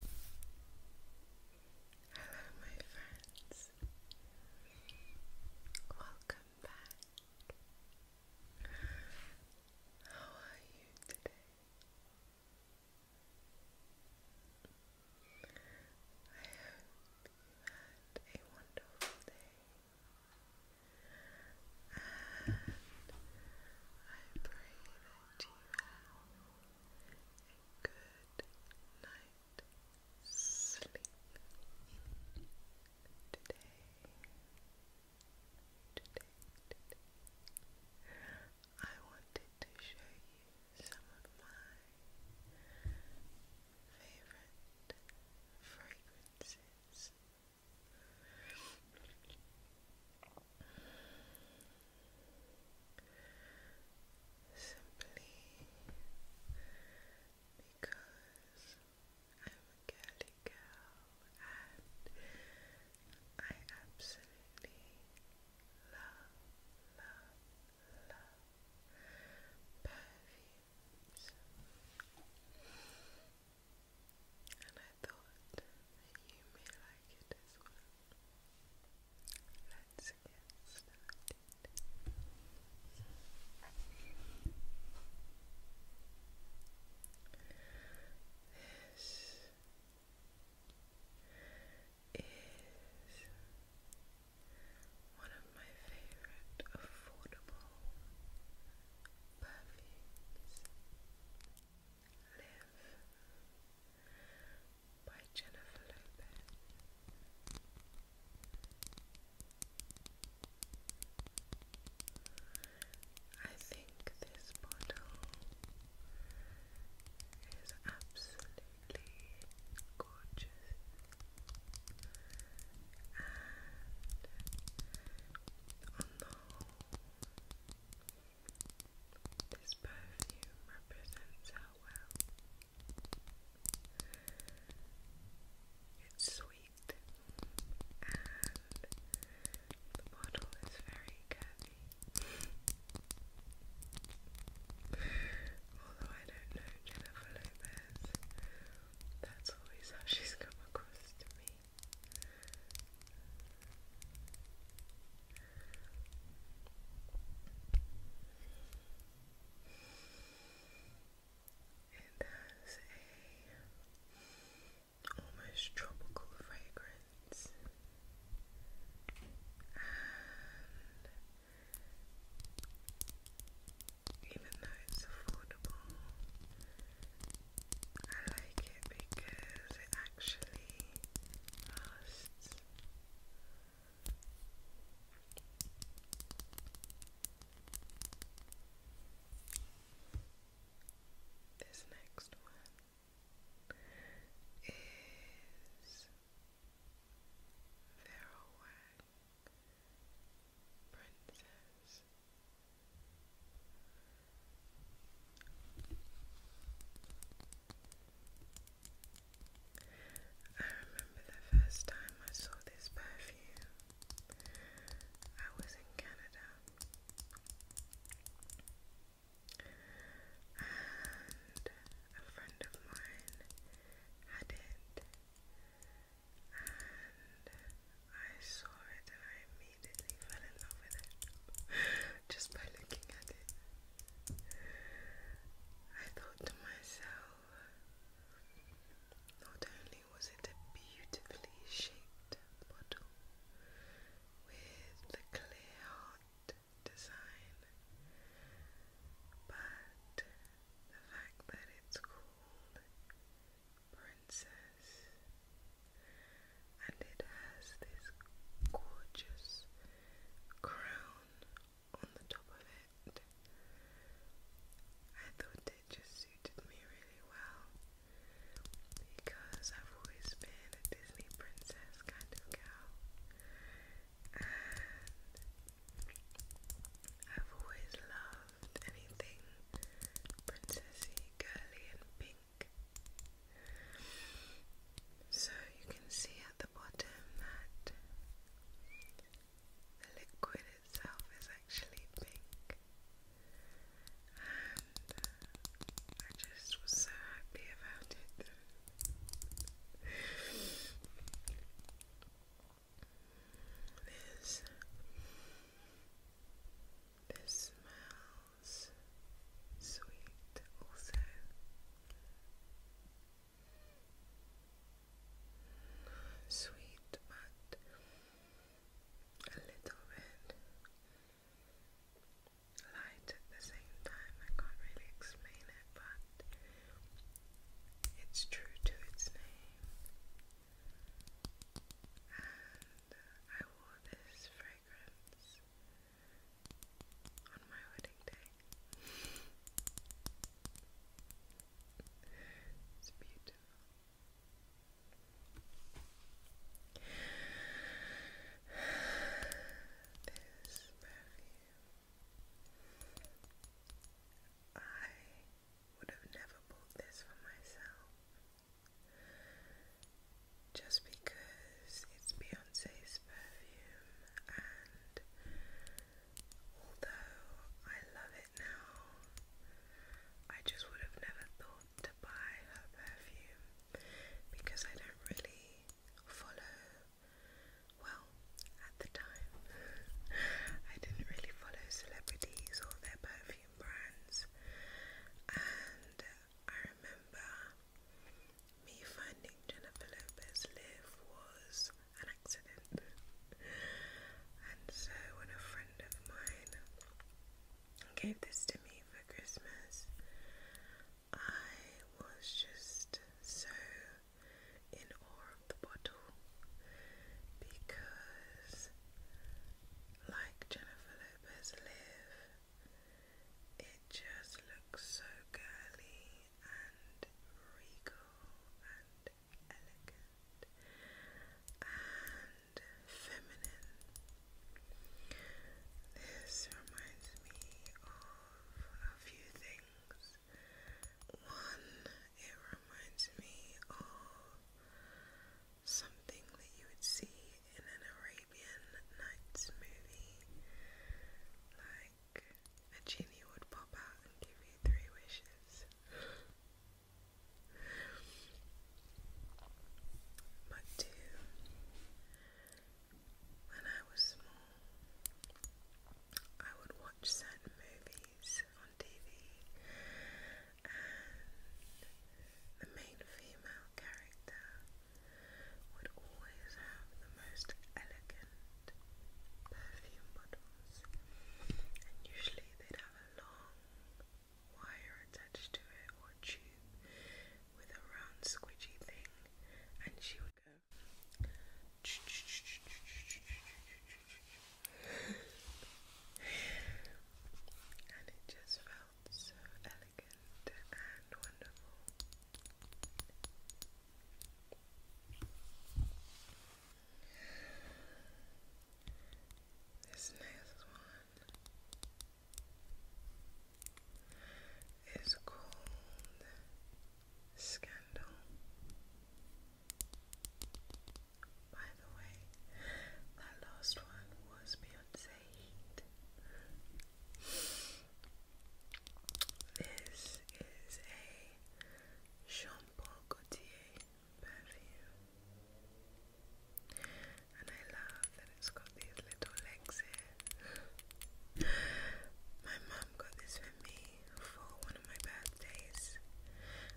Hello, my friends. Welcome back. How are you today? I hope you had a wonderful day. And I pray that you have good night sleep today, today, I wanted to show you some of my favorite fragrances Simply because I'm a girly girl and I absolutely love, love, love perfumes. And I thought you may like it as well. Let's This is one of my favorite affordable perfumes. Live by Jennifer Lopez. I think this bottle is absolutely gorgeous and on the this perfume represents how well it's sweet, and the bottle is very curvy. Although I don't know Jennifer Lopez, that's always how she's come across to me. It has a almost tropical fragrance even though it's affordable, I like it because it actually um, lasts. This next one is Feral Princess. I remember the first time I saw this perfume. I was in Canada and a friend of mine had it and I saw it and I immediately fell in love with it just by looking at it. I thought to myself, not only was it a beautifully shaped bottle with the clear heart design, but the fact that it's called Princess and it has this gorgeous crown on the top of it. I thought it just suited me really well because I've always been a Disney princess kind of girl and I've always loved anything princessy, girly and pink pink. So you can see at the bottom that the liquid itself is actually pink. And uh, I just was so happy about it. This, this smell sweet also. Sweet but a little bit light at the same time. I can't really explain it, but it's true to its name. I wore this fragrance on my wedding day. it's beautiful. This perfume. I would have never bought this for myself just because it's Beyonce's perfume, and although I love it now, I just would have never thought to buy her perfume because I don't really follow, well, at the time, I didn't really follow celebrities or their perfume brands. And I remember me finding Jennifer Lopez live was an accident. and so when a friend of mine gave this to me for Christmas, I was just so in awe of the bottle because like Jennifer Lopez live it just looks so girly and regal and elegant and feminine. This reminds me of a few things. One, it reminds me of something that you would see in an Arabian Nights movie. Like, a genie would pop out and give you three wishes. but two, when I was small, I would watch certain movies on TV, and the main female character would always have the most elegant perfume bottles, and usually they'd have a long wire attached to it or a tube with a round squidgy thing, and she would go. and it just felt found so elegant and wonderful. This next one is called Scandal. By the way, that last one was Beyonce this is a Jean Gaultier and I love that it's got these little legs here. My mum got this for me for one of my birthdays.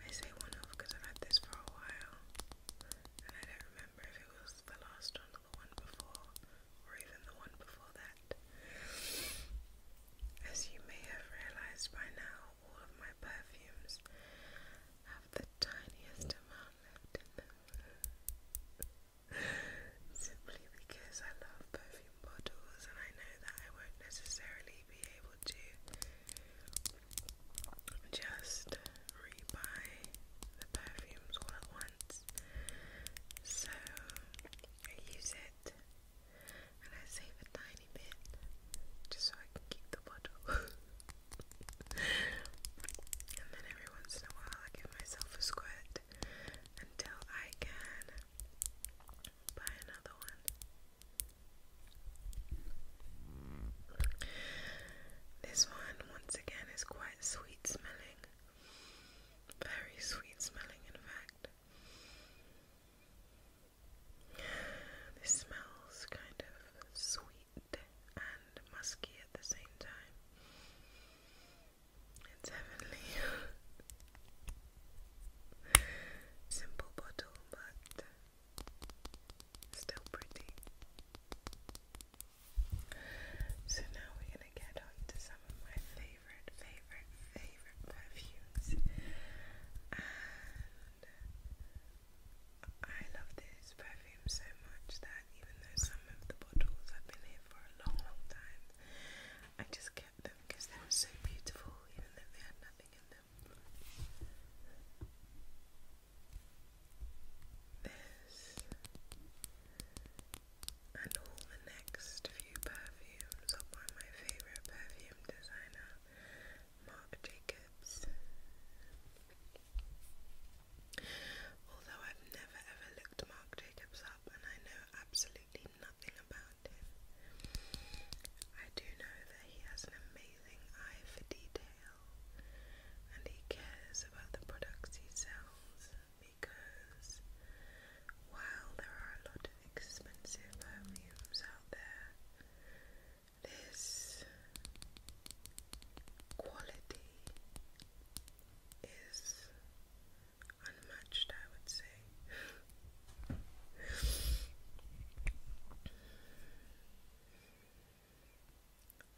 I say one of because I've had this for a while, and I don't remember if it was the last one the one before, or even the one before that. As you may have realized by now, all of my perfumes have the tiniest amount left in them. Simply because I love perfume bottles and I know that I won't necessarily be able to just rebuy the perfumes all at once. So I use it and I save a tiny bit just so I can keep the bottle. and then every once in a while I give myself a squirt until I can buy another one. This one, once again, is quite quite sweet smelling. Very sweet smelling, in fact. This smells kind of sweet and musky at the same time. It's heavenly. Simple bottle, but still pretty. So now we're gonna get on to some of my favorite, favorite, favorite perfumes. And I love this perfume so much that even though some of the bottles have been here for a long, long time, I just kept them because they were so beautiful, even though they had nothing in them this, and all the next few perfumes are by my favourite perfume designer, Marc Jacobs. Although I've never ever looked Marc Jacobs up and I know absolutely nothing about him, I do know that he has an amazing eye for detail and he cares about the products he sells because while there are a lot of expensive perfumes out there, this quality is unmatched, I would say.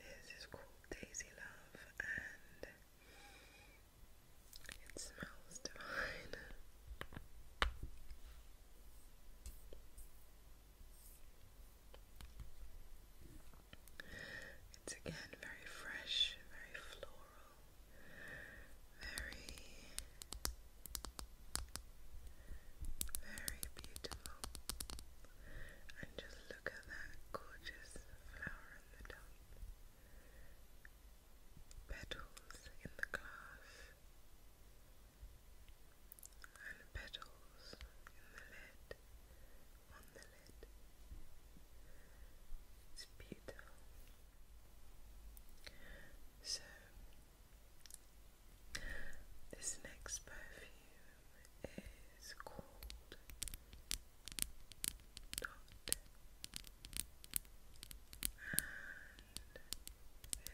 This is called Daisy Love and it smells divine. It's again very fresh, very floral, very, very beautiful just look at that gorgeous flower in the top. Petals in the glass. And petals in the lid. On the lid. It's beautiful. So, this next perfume is cold, and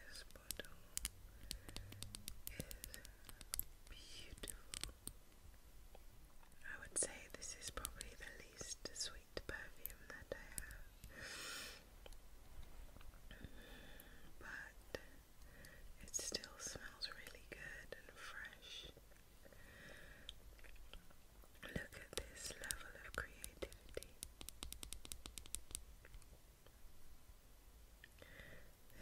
this bottle is beautiful. I would say this is probably the least sweet perfume that I have, but it still smells really good and fresh. Look at this level of creativity.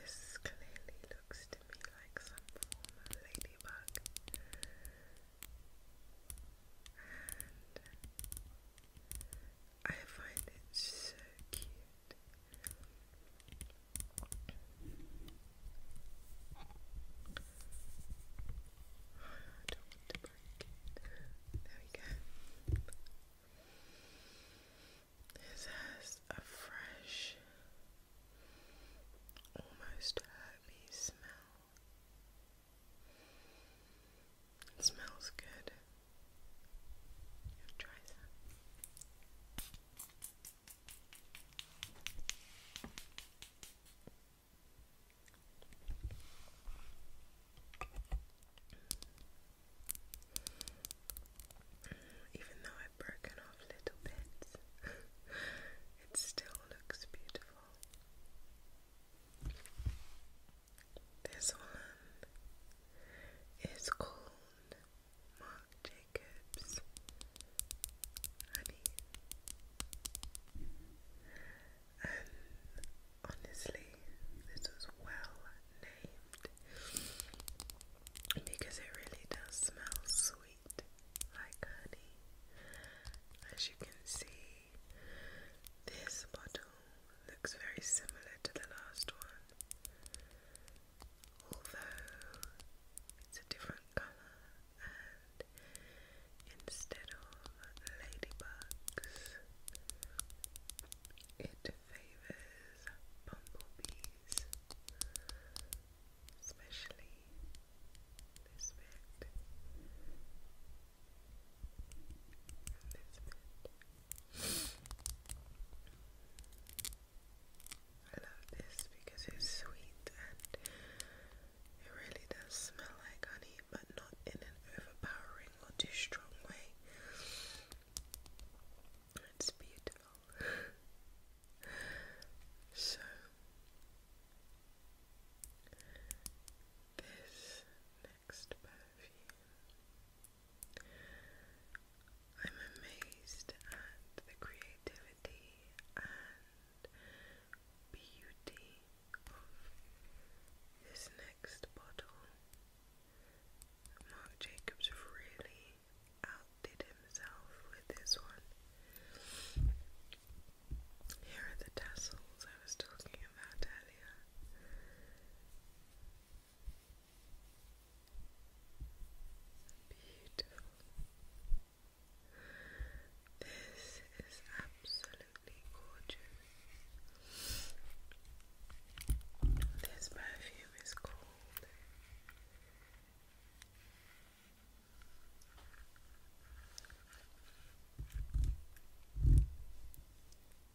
This clearly looks to me like some form of ladybug. And I find it so cute. I don't want to break it. There we go. This has a fresh, almost herby smell. It smells good. You'll try that. Even though I've broken off little bits, it still looks beautiful. This one is called Marc Jacobs honey. And um, honestly, this was well named because it really does smell sweet like honey. As you can see, this bottle looks very similar to the last one although it's a different colour and instead of ladybugs it favours bumblebees especially this bit and this bit I love this because it's sweet and it really does smell like honey, but not in an overpowering or too strong way. It's beautiful. so, this next perfume I'm amazed at the creativity and beauty of this next bottle. Marc Jacobs really outdid himself with this one. Here are the tassels I was talking about earlier. Beautiful. This is absolutely gorgeous. This perfume is called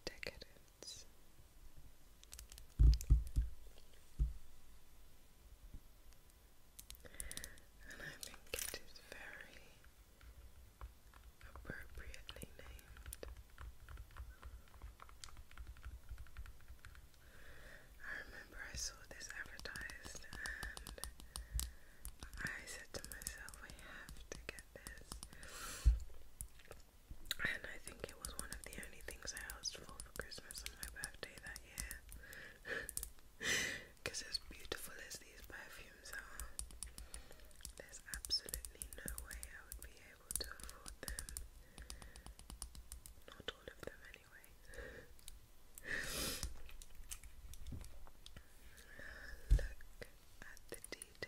Decadent words. And I think it is very appropriately named. I remember I saw this advertised and I said to myself, I have to get this and I think it was one of the only things I asked for for Christmas and my birthday that year. Because as beautiful as these perfumes are, there's absolutely no way I would be able to afford them. Not all of them, anyway. Look at the detail.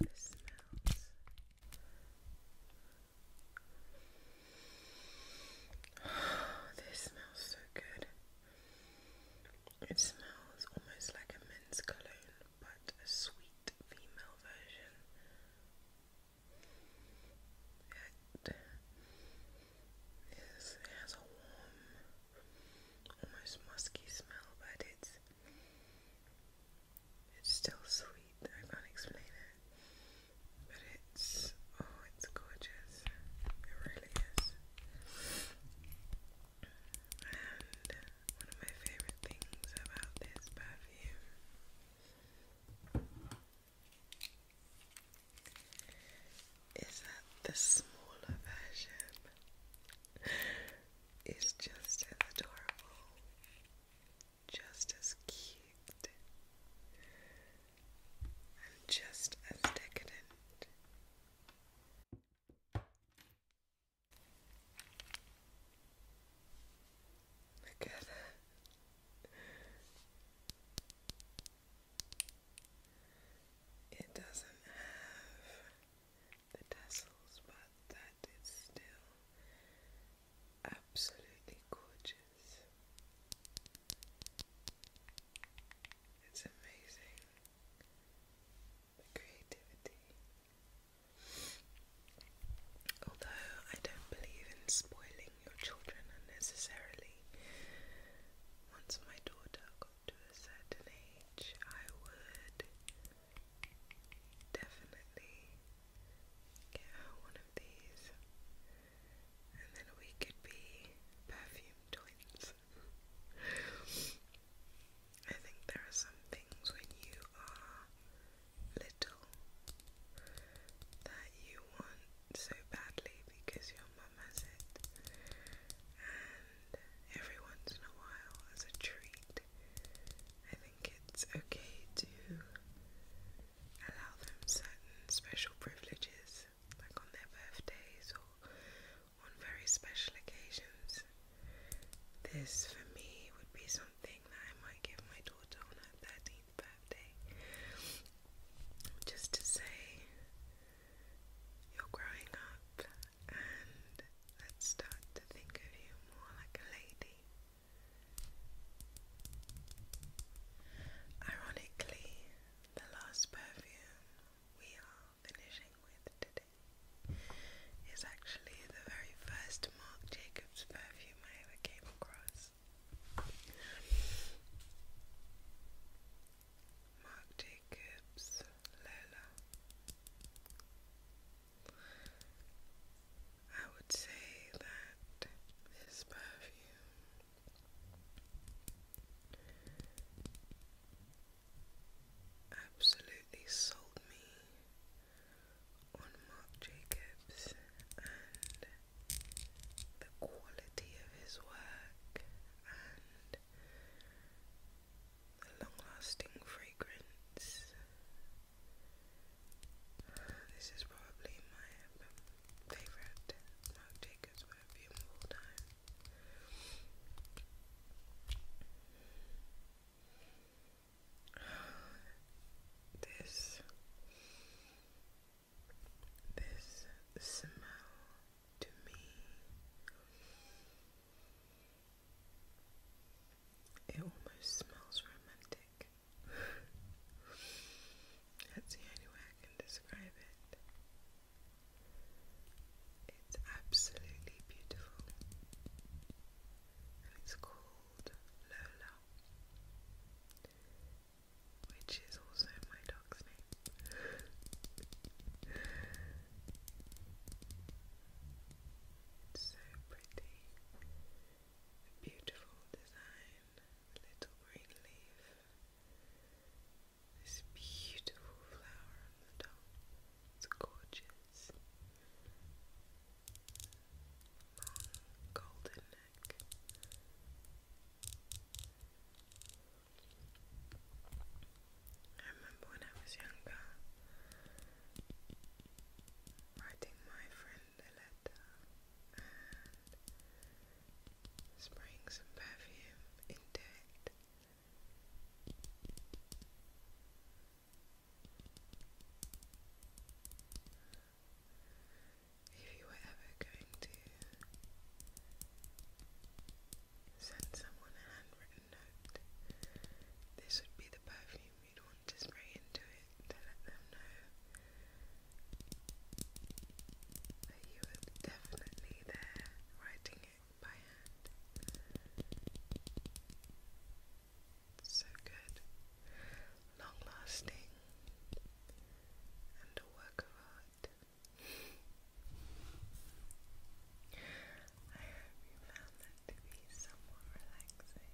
the smells. this smells so good. It smells almost like a men's cologne, but a sweet female version. It, yes, it has a warm, almost musky smell, but it's it's still sweet, I can't explain it. But it's oh it's gorgeous. It really is. And one of my favourite things about this perfume is that the smaller version is just adorable just as cute and just as decadent. Look at that. It doesn't have the tassels, but that is still absolutely gorgeous. It's amazing the creativity. Although I don't believe in spoiling your children unnecessarily, once my daughter got to a certain age, I would definitely get one of these, and then we could be perfume twins. I think there are some things when you are little that you want so badly because your mum has it, and every once in a while, as a treat, I think it's okay to allow them certain special privileges, like on their birthdays or on very special occasions. This, for me, would be something that I might give my daughter on her 13th birthday. Just to say, you're growing up, and let's start to think of you more like a lady Ironically, the last perfume we are finishing with today is actually the very first Marc Jacobs perfume I ever came across. Marc Jacobs Leila. I would say that this perfume absolutely sold me on Marc Jacobs and the quality of his work and the long lasting fragrance this is probably my favorite Marc Jacobs perfume of all time. This, this smell to me it almost smells romantic. That's the only way I can describe it. It's absolutely beautiful. it's called Lola, which is also my dog's name. It's so pretty. beautiful design. little green leaf. This beautiful flower on the top. It's gorgeous. Long golden neck. I remember when I was younger, writing my friend a letter and spraying some perfume into it. If you were ever going to send someone a handwritten note, this would be the perfume you'd want want to into it to let them know that you were definitely there writing it by hand. So good, long lasting, and a work of art. I hope you found that to be somewhat relaxing.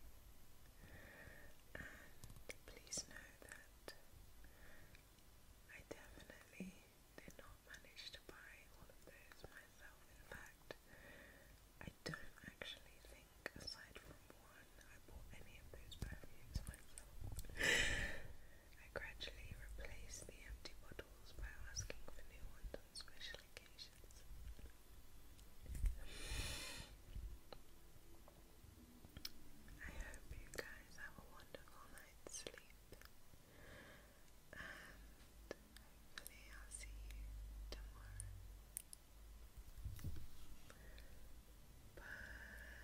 And please know that I definitely did not manage to buy all of those myself. In fact, I don't actually think, aside from one, I bought any of those perfumes myself. I gradually replaced the empty bottles by asking for new ones special occasions. I hope you guys have a wonderful night's sleep, and hopefully, I'll see you tomorrow. Bye.